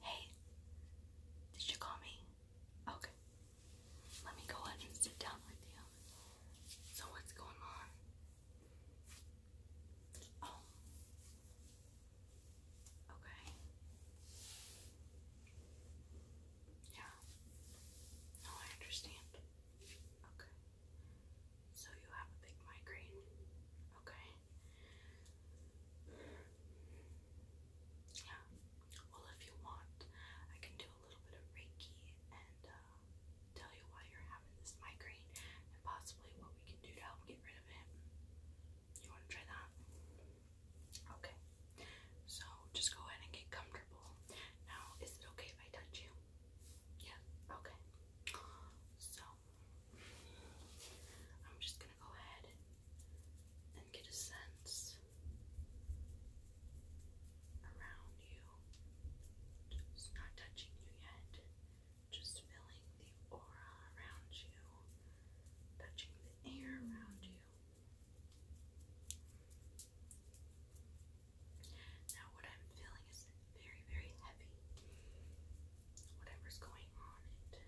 Hey, did you call me? Okay. Let me go ahead and sit down with you. So, what's going on? Oh. Okay. Yeah. No, I understand. Okay. So you have a big migraine. Okay. Yeah. Well, if you want, I can do a little bit of Reiki and uh, tell you why you're having this migraine and possibly what we can do to help get rid of it. You want to try that? Okay. So just go ahead and get comfortable. Now, is it okay if I touch you? Yeah, okay. So, I'm just gonna go ahead and get a sense around you. Just not touching you yet, just feeling the aura around you, touching the air around you. Now, what I'm feeling is very, very heavy. Whatever's going on, it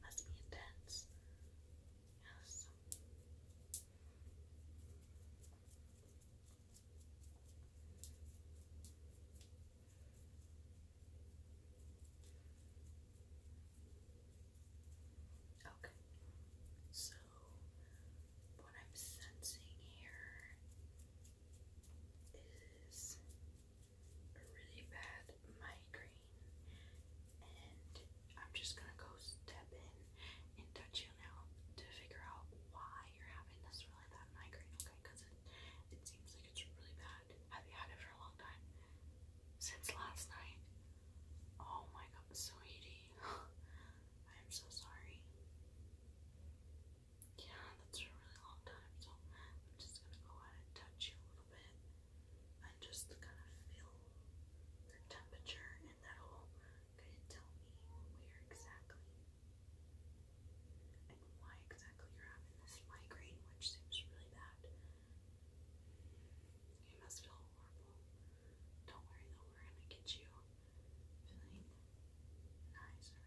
must be intense. Yes. Okay, so what I'm sensing here is a really bad migraine, and I'm just gonna go step in and touch you now to figure out why you're having this really bad migraine, okay? Because it, seems like it's really bad. Have you had it for a long time? Since last night? Oh my god, sweetie. I am so sorry. Yeah, that's a really long time, so I'm just gonna go ahead touch you a little bit and just kind of feel the temperature, and that'll kind of tell me where exactly and why exactly you're having this migraine, which seems really bad. You must feel horrible. Don't worry though, we're gonna get you feeling nicer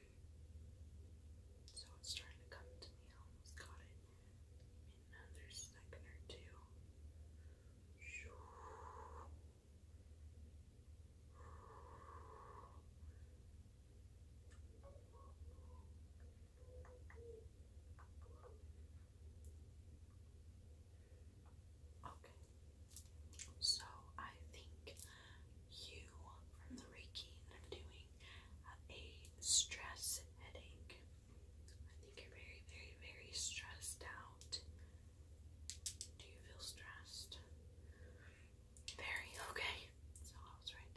So it's starting to come to me. almost got it in another second or two. Okay, so I think you from the Reiki that I'm doing have a stress headache. I think you're very, very, very stressed out. Do you feel stressed? Very okay. So I was right.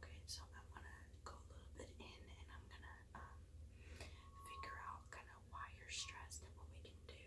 Okay, so I'm gonna go a little bit in and I'm gonna um, figure out kind of why you're stressed and what we can do.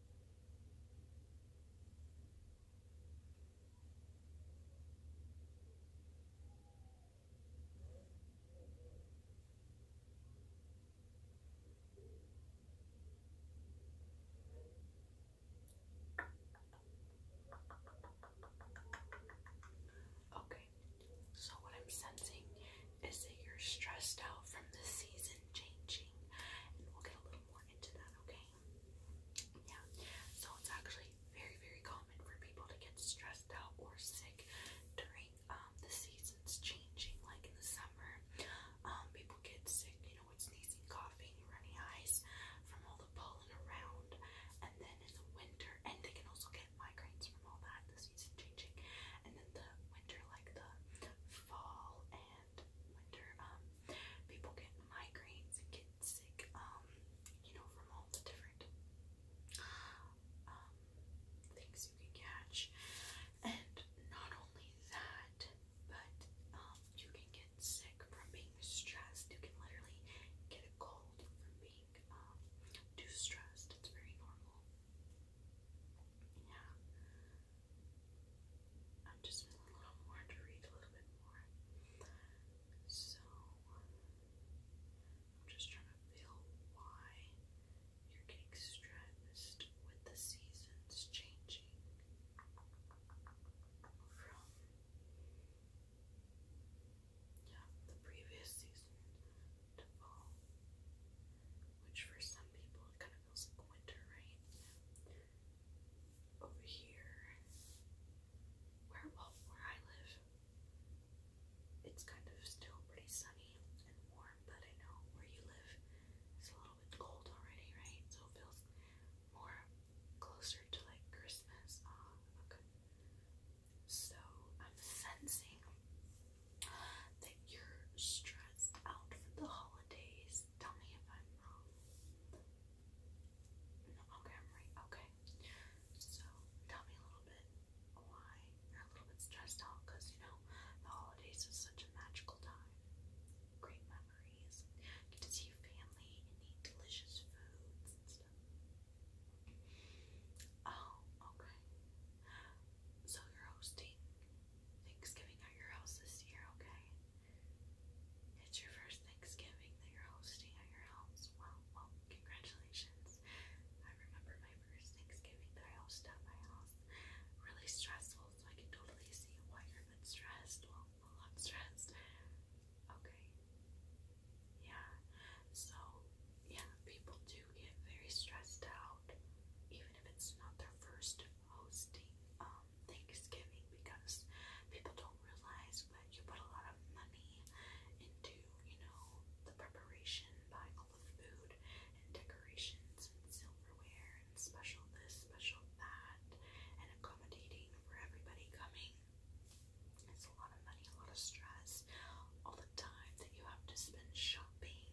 Okay, so what I'm sensing is that you're stressed out from the season changing, and we'll get a little more into that, okay? Yeah. So it's actually very, very common for people to get stressed out or sick during um the seasons changing, like in the summer. Um, people get sick, you know, with sneezing, coughing, runny eyes from all the pollen around, and then in the winter, and they can also get migraines from all that, the season changing, and then the winter, like the fall and and winter, um, people get migraines and get sick, um, you know, from all the different um, things you can catch. And not only that, but um, you can get sick from being stressed. You can literally get a cold from being um, too stressed. It's very normal. Yeah i am just been a little more to read a little bit more. So I'm just trying to feel why you're getting stressed with the seasons changing from the previous season to fall. Which for some people kind of feels like winter, right? Over here, where well, where I live, it's kind of still pretty sunny and warm, but I know where you live it's a little bit cold already, right? So it feels more closer to like Christmas. Ah, okay. So I'm sensing that you're stressed out for the holidays tell me if I'm wrong. okay, I'm right. Okay. So tell me a little bit why you're a little bit stressed out because you know the holidays is such a magical time. Great memories. Get to see family and eat delicious foods and stuff. Oh, okay. So you're hosting Thanksgiving at your house this year, okay? It's your first Thanksgiving that you're hosting at your house. Well, well, congratulations. I remember my first Thanksgiving that I hosted at my house. Really stressful, so I can totally see why you're a bit stressed. Well, a lot stressed. Okay. Yeah. So, yeah, people do get very stressed out, even if it's not their first hosting. Um, Thanksgiving because people don't realize that you put a lot of money into, you know, the preparation, buying all the food and decorations and silverware and special this, special that, and accommodating for everybody coming. It's a lot of money, a lot of stress, all the time that you have to spend shopping,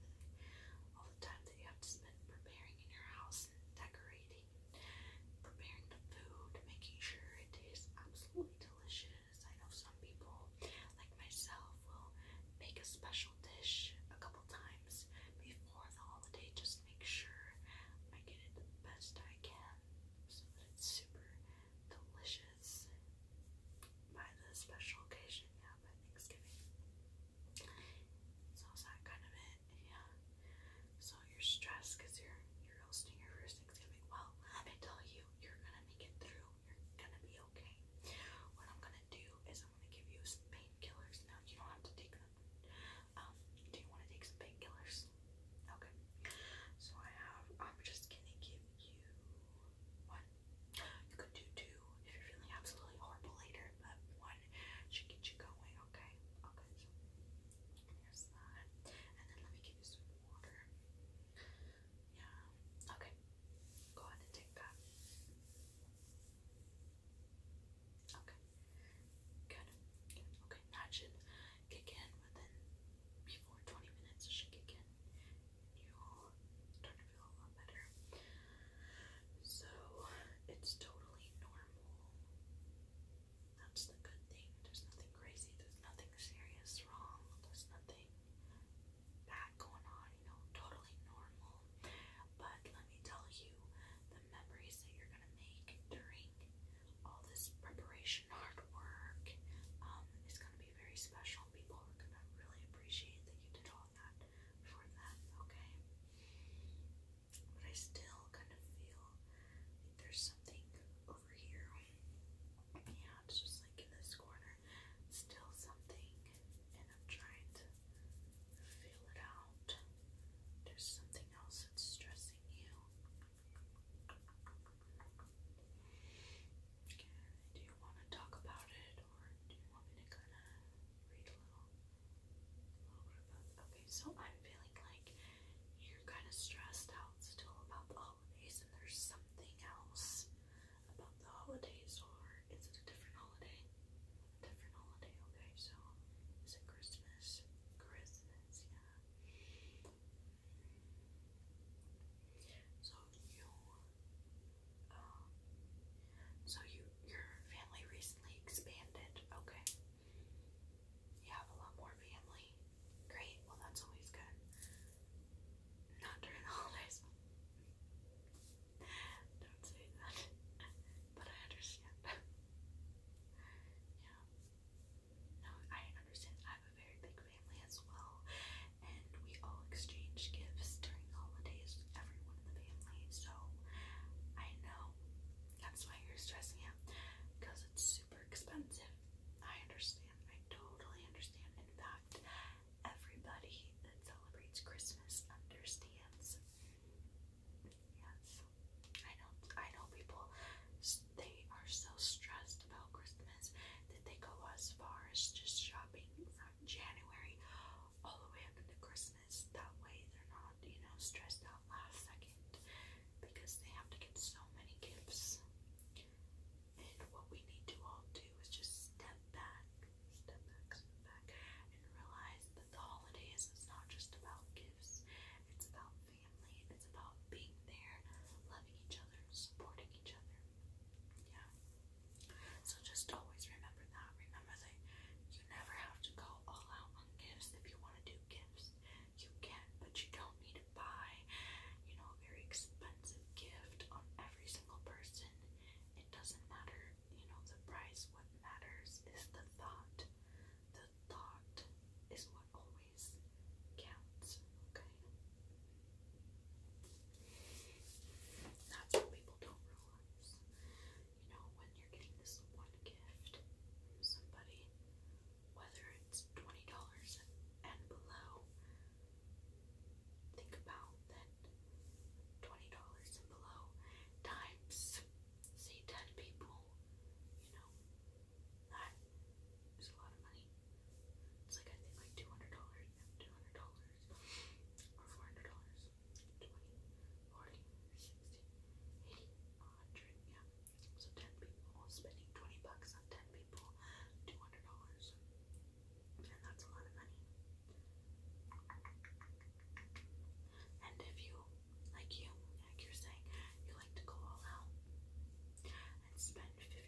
all the time you have to spend preparing in your house decorating, preparing the food, making sure it tastes absolutely delicious. I know some people, like myself, will make a special dish a couple times before the holiday just to make sure I get it the best I can so that it's super delicious by the special occasion, yeah, by Thanksgiving. So that kind of it? Yeah. So you're stressed because you're you're hosting your first Thanksgiving. Well, let me tell you, you're gonna make it through. You're gonna be okay. What I'm gonna do is I'm gonna give you painkillers. Now you don't have to take them. Um, do you want to take some painkillers? Okay. So I have. I'm just gonna give you one. You could do two if you're feeling absolutely horrible later, but one should get you going, okay? Okay, here's that. And then let me give you some water. Yeah, okay. Go ahead and take that. Okay, good. Okay, that should kick in within before 20 minutes. It should kick in. You'll start to feel a lot better. So, it's totally normal. That's the good thing. There's nothing crazy. There's nothing serious wrong. There's nothing bad going on. You know, totally normal. But let me tell you, the memories that you're gonna make during all this preparation, hard work, um, is gonna be very special. People are gonna really appreciate that you did all that for them. Okay but I still kind of feel there's something over here. Yeah, it's just like in this corner, still something, and I'm trying to feel it out. There's something else that's stressing you. Okay, do you want to talk about it, or do you want me to kind of read a little? Okay, so I'm feeling like you're kind of stressed out still about the holidays, and there's something else about the holidays, or is it a different holiday? A different holiday, okay, so is it Christmas? Christmas, yeah. So you, um, so you your family recently expanded. Okay. You have a lot more family. Great. Well, that's always good. Not during the holidays. Don't say that. but I understand. yeah. No, I understand. I have a very big family as well, and we all exchange gifts during holidays. Everyone the family, so I know that's why you're stressing out because it's super expensive. I understand, I totally understand. In fact, everybody that celebrates Christmas understands. Yes, I know. I know people. They are so stressed about Christmas that they go as far as just shopping from January all the way up into Christmas. That way they're not, you know, stressed out last second because they have to get so many gifts. And what we need to all do is just step back, step back, step back, and realize that the holidays is not just about gifts. It's about family. It's about being there, loving each other, supporting each other. Yeah. So just always remember that. Remember that you never have to go all out on gifts. If you want to do gifts, you can, but you don't need to buy, you know, a very expensive gift on every single person. It doesn't matter, you know, the price. What matters is the thought. The thought is what always counts, okay? That's what people don't realize you know, when you're getting this one gift from somebody, whether it's twenty dollars and below, think about that twenty dollars and below times say ten people, you know, that is a lot of money. It's like I think like two hundred dollars, two hundred dollars, or four hundred dollars. 40, yeah. So 10 people, spending 20 bucks on 10 people, $200. And that's a lot of money. And if you, like you, like you're saying, you like to go all out and spend 50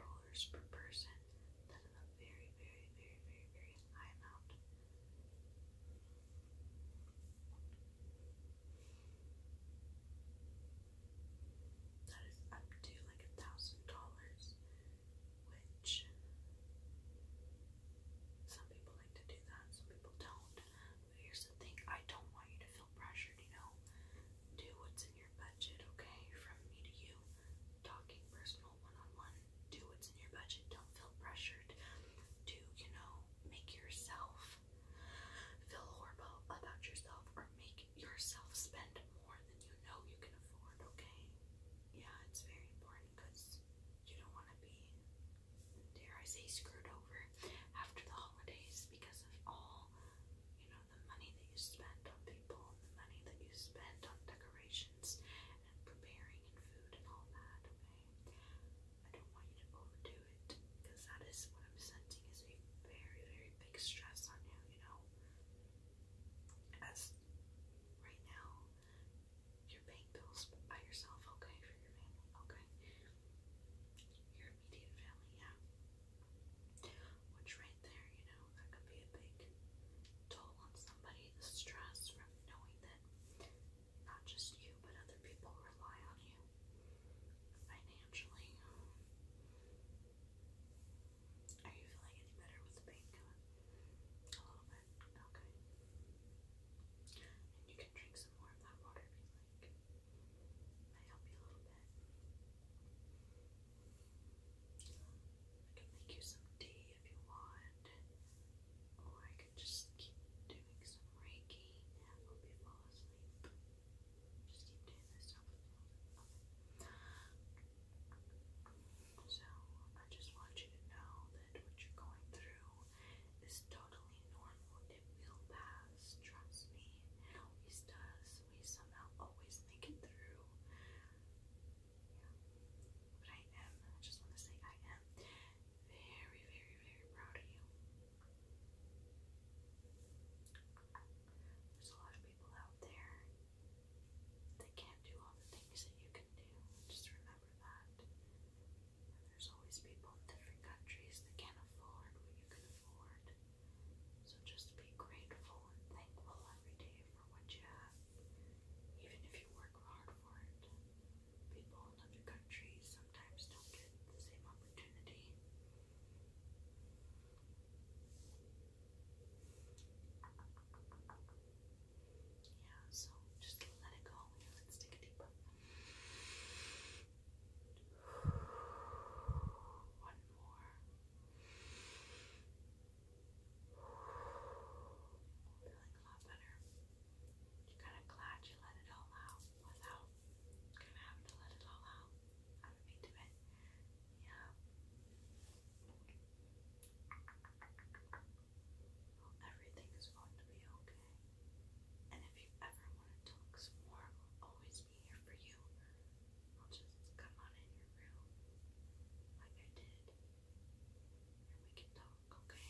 dollars per person, that is a very, very, very, very, very high amount. That is up to like a thousand dollars, which some people like to do that, some people don't. here's the thing I don't want you to feel pressured, you know. Do what's in your budget, okay? From me to you, talking personal one on one do what's in your budget. Don't feel pressured to, you know, make yourself feel horrible about yourself or make yourself spend more than you know you can afford, okay? Yeah, it's very important because you don't want to be, dare I say, screwed over after the holidays because of all, you know, the money that you spend on people and the money that you spend on decorations and preparing and food and all that, okay? I don't want you to overdo it because that is what I'm sensing is a very, very big stress on you, you know? As right now, you're paying bills by yourself, okay, for your family, okay? Your immediate family, yeah. Which right there, you know, that could be a big toll on somebody. The stress from knowing that not just you, but other people rely on you financially. Are you feeling any better with the pain A little bit. Okay. And you can drink some more of that water if you like. Might help you a little bit. I can make you some tea if you want, or I could just keep doing some Reiki and you fall asleep. Just keep doing this up So, I just want you to know that what you're going through is totally normal. It will pass, trust me. It always does. We somehow always make it through. Yeah. But I am, I just want to say I am very, very, very proud of you. There's a lot of people out there that can't do all the things that you can do. Just remember that. there's always people in different countries that can't afford what you can afford. So just be grateful and thankful every day for what you have. Even if you work hard for it, people in other countries sometimes don't get the same opportunity. Yeah, so just let it go. Let's take a deep breath. One more. Feeling a lot better. You're kind of glad you let it all out without kind of having to let it all out. I'm into it. Yeah. Well, going to be okay. And if you ever want to talk some more, I'll always be here for you. I'll just come on in your room like I did. And we can talk okay?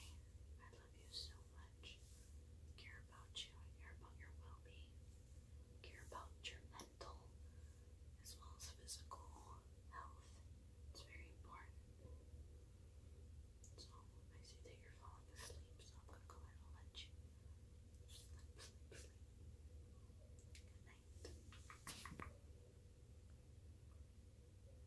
I love you so much. Care about you. I care about your well being. Care about your mental as well as physical health. It's very important. So I see that you're falling asleep, so I'm gonna go ahead and let you sleep, Good night.